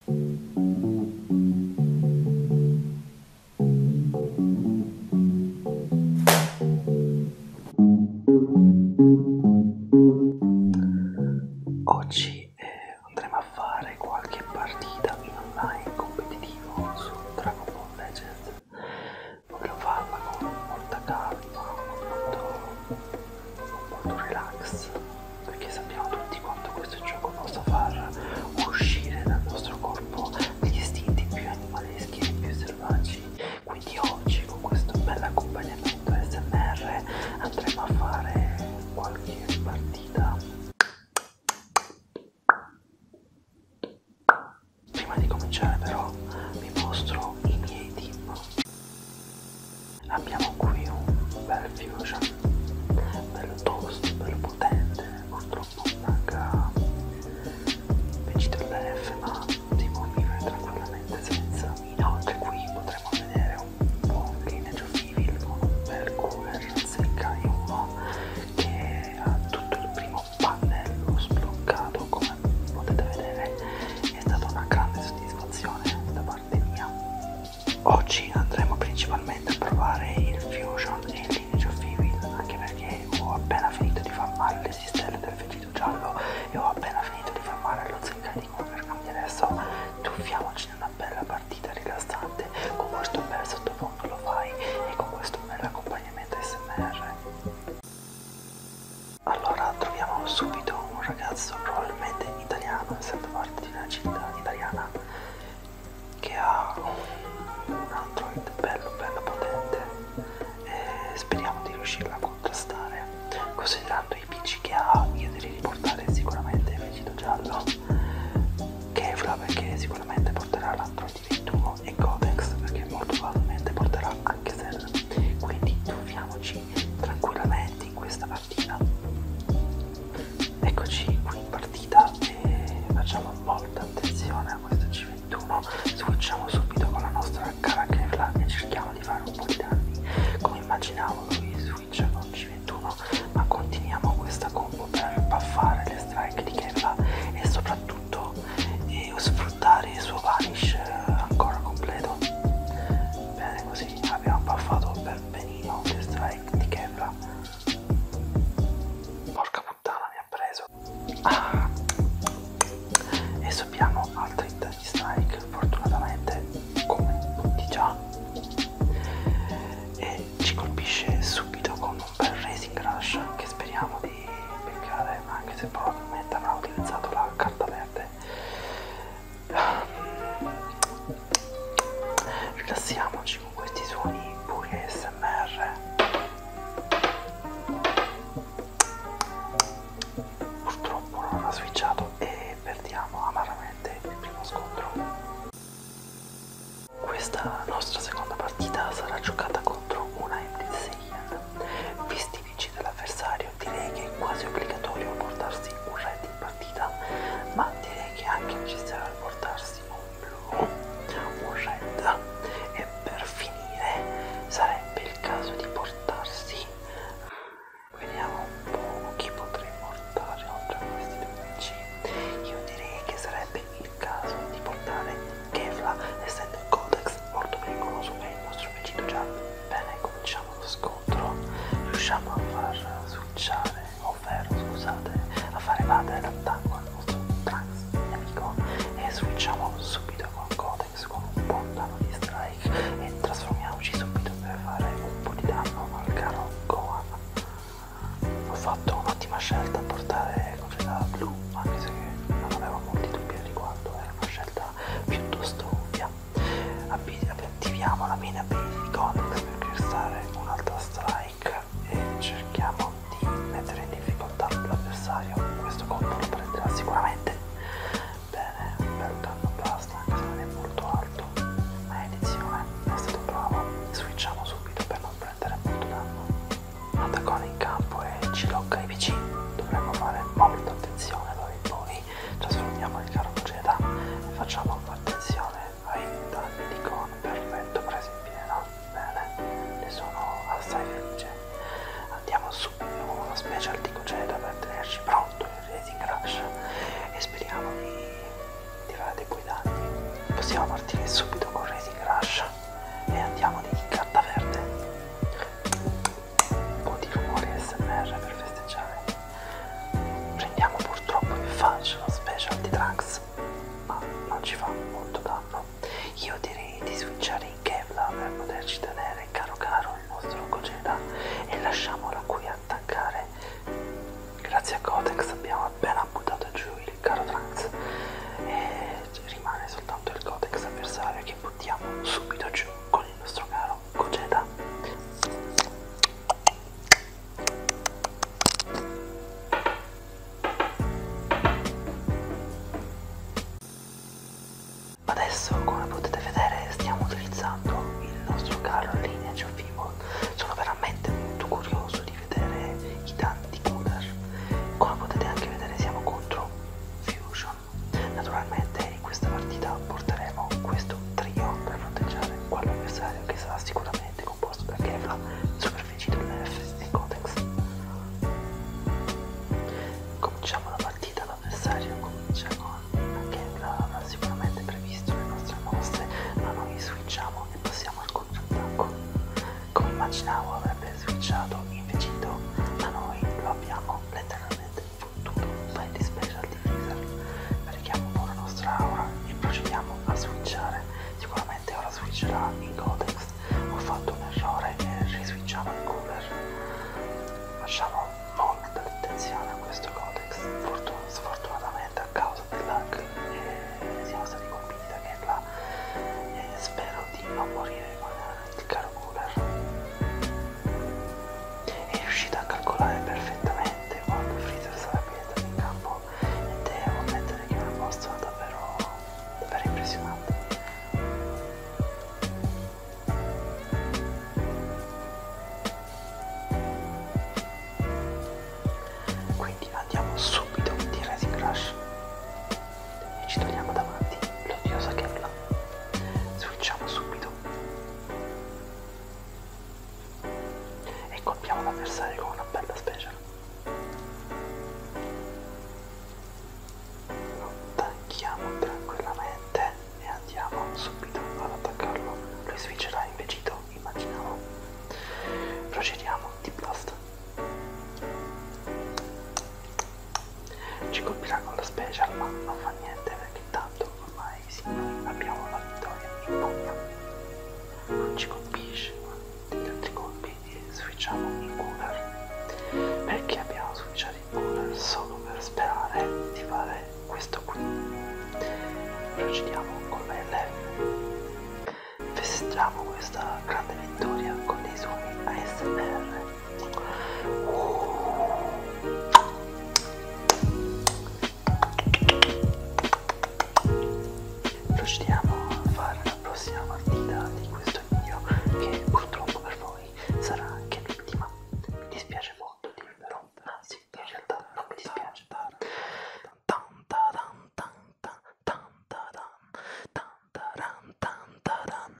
Oggi eh, andremo a fare qualche partita in online competitivo su Dragon Ball Legends. Voglio farla con molta calma, con molto, con molto relax perché sappiamo tutti quanto questo gioco possa far uscire dal nostro corpo degli istinti più animaleschi e più selvaggi. Quindi oggi con questo bel accompagnamento SMR andremo a fare qualche partita. Prima di cominciare però vi mostro i miei team abbiamo qui un bel fusion bello tosto bello potente purtroppo manca vegetale F ma si può vivere tranquillamente senza inoltre qui potremo vedere un buon lineage of evil con un bel cooler secca e uno che ha tutto il primo pannello sbloccato come potete vedere è stata una grande soddisfazione da parte mia Oggi andremo principalmente a provare il Fusion e il Lineage of Evil, anche perché ho appena finito di farmare le stelle del vestito giallo e ho appena finito di farmare lo zeccai di Conquer, quindi adesso tuffiamoci in una bella partita rilassante con questo bel sottofondo lo fai e con questo bel accompagnamento smr. Allora troviamo subito un ragazzo probabilmente italiano, essendo parte di una città italiana che ha un, un android bello bello potente e speriamo di riuscirla a contrastare considerando i pc che ha io direi di portare sicuramente il vestito giallo Kevla perché sicuramente porterà l'android 21 e Codex perché molto probabilmente porterà anche Cell quindi troviamoci tranquillamente in questa partita partita. Eccoci qui in partita e facciamo molta attenzione a questo C21. Switchiamo subito con la nostra cara Kevla e cerchiamo di fare un po' di danni. Come immaginavo lui switcha con C21, ma continuiamo questa combo per buffare le strike di Kevla e soprattutto eh, sfruttare il suo vanish eh, ancora completo. Bene, così sì, abbiamo baffato per benino The Strike di Kevla. Porca puttana, mi ha preso. Ah. E sappiamo altri tre di Strike, fortunatamente, come tutti già. E ci colpisce subito con un bel Racing Rush che speriamo di beccare, anche se probabilmente avrà utilizzato la carta verde rilassiamoci con questi suoni puri smr purtroppo non ha switchato e perdiamo amaramente il primo scontro questa nostra seconda partita sarà giocata contro una Emily Seiyan visti i vinci dell'avversario necessario, direi che è quasi obbligatorio portarsi un red in partita, ma direi che anche ci sarà portarsi un blu, un red e per finire sarebbe il caso di portarsi, vediamo un po' chi potrei portare oltre a questi 12, io direi che sarebbe il caso di portare Kevla essendo il codex molto pericoloso per il nostro vecino giallo. Bene, cominciamo lo scopo scontro riusciamo a far switchare, ovvero scusate, a far evadere l'attacco al nostro trans nemico e switchiamo subito con Codex con un buon danno di strike e trasformiamoci subito per fare un po' di danno al caro Gohan. Ho fatto un'ottima scelta a portare Congedata blu, anche se non avevo molti dubbi al riguardo, era una scelta piuttosto ovvia attiviamo la mina di Conex per creare un'altra strike e cerchiamo di mettere in difficoltà l'avversario questo colpo lo prenderà sicuramente bene, un bel danno basta anche se non è molto alto ma è edizione, è stato bravo switchiamo subito per non prendere molto danno attaccone in campo e ci locca i vicini dovremmo fare molta attenzione da in poi trasformiamo il carroceto e facciamo attenzione ai dettagli di con perfetto presi in pieno. Bene, ne sono assai felice. Andiamo subito con una special di coceta per tenerci pronto il Racing Rush e speriamo di, di fare dei guidati. Possiamo partire subito con Racing Rush e andiamo di carta verde un po' di rumore SMR per festeggiare. Prendiamo purtroppo in faccia lo specialty tracks, ma non ci fa molto danno. Io direi di switchare in Kevlar per poterci tenere caro caro il nostro Gogeta e lasciamolo qui attaccare. Grazie a Codex abbiamo appena buttato giù il caro Trunks e rimane soltanto il Codex avversario che buttiamo subito giù con il nostro caro conceda adesso come potete vedere stiamo utilizzando il nostro carro in linea Geofibo sono veramente molto curioso di vedere i tanti cooler come potete anche vedere siamo contro Fusion Naturalmente in questa partita porteremo questo trio per fronteggiare quell'avversario che sarà sicuramente composto da Kevla, superfici dell'FS e Codex. Cominciamo la partita, l'avversario comincia con Kevla, avrà sicuramente previsto le nostre mosse, ma noi switchiamo e passiamo al contrattacco. Come immaginavo avrebbe switchato invece ma noi lo abbiamo letteralmente tutto in dispresa al difesa vediamo un po' la nostra aura e procediamo a switchare sicuramente ora switcherà in codex ho fatto un errore e riswitchiamo in cooler facciamo molta attenzione a questo codex Fortun sfortunatamente a causa del lag eh, siamo stati colpiti da Kerla e eh, spero di non morire con il caro Cooler è riuscito a calcolare perfettamente quando Freezer sarebbe entrato in campo ed è devo ammettere che è una mossa davvero, davvero impressionante quindi andiamo subito di Racing Crash e ci togliamo davanti l'odiosa Kella switchiamo subito e colpiamo l'avversario con una bella special lo tacchiamo tranquillamente e andiamo subito ad attaccarlo lui switcherà invecito immaginiamo procediamo di blast ci colpirà con la special ma non fa niente perché tanto ormai signori abbiamo la vittoria in mano non ci colpisce ma degli altri colpi switchiamo in cooler perché abbiamo switchato in cooler solo per sperare di fare questo qui procediamo con la LF festeggiamo questa grande vittoria con dei suoni ASMR Procediamo a fare la prossima partita di questo video che purtroppo per voi sarà anche l'ultima. Mi dispiace molto dirvelo, anzi in realtà non mi dispiace. Tantaran, tantaran, tantaran, tantaran, tantaran,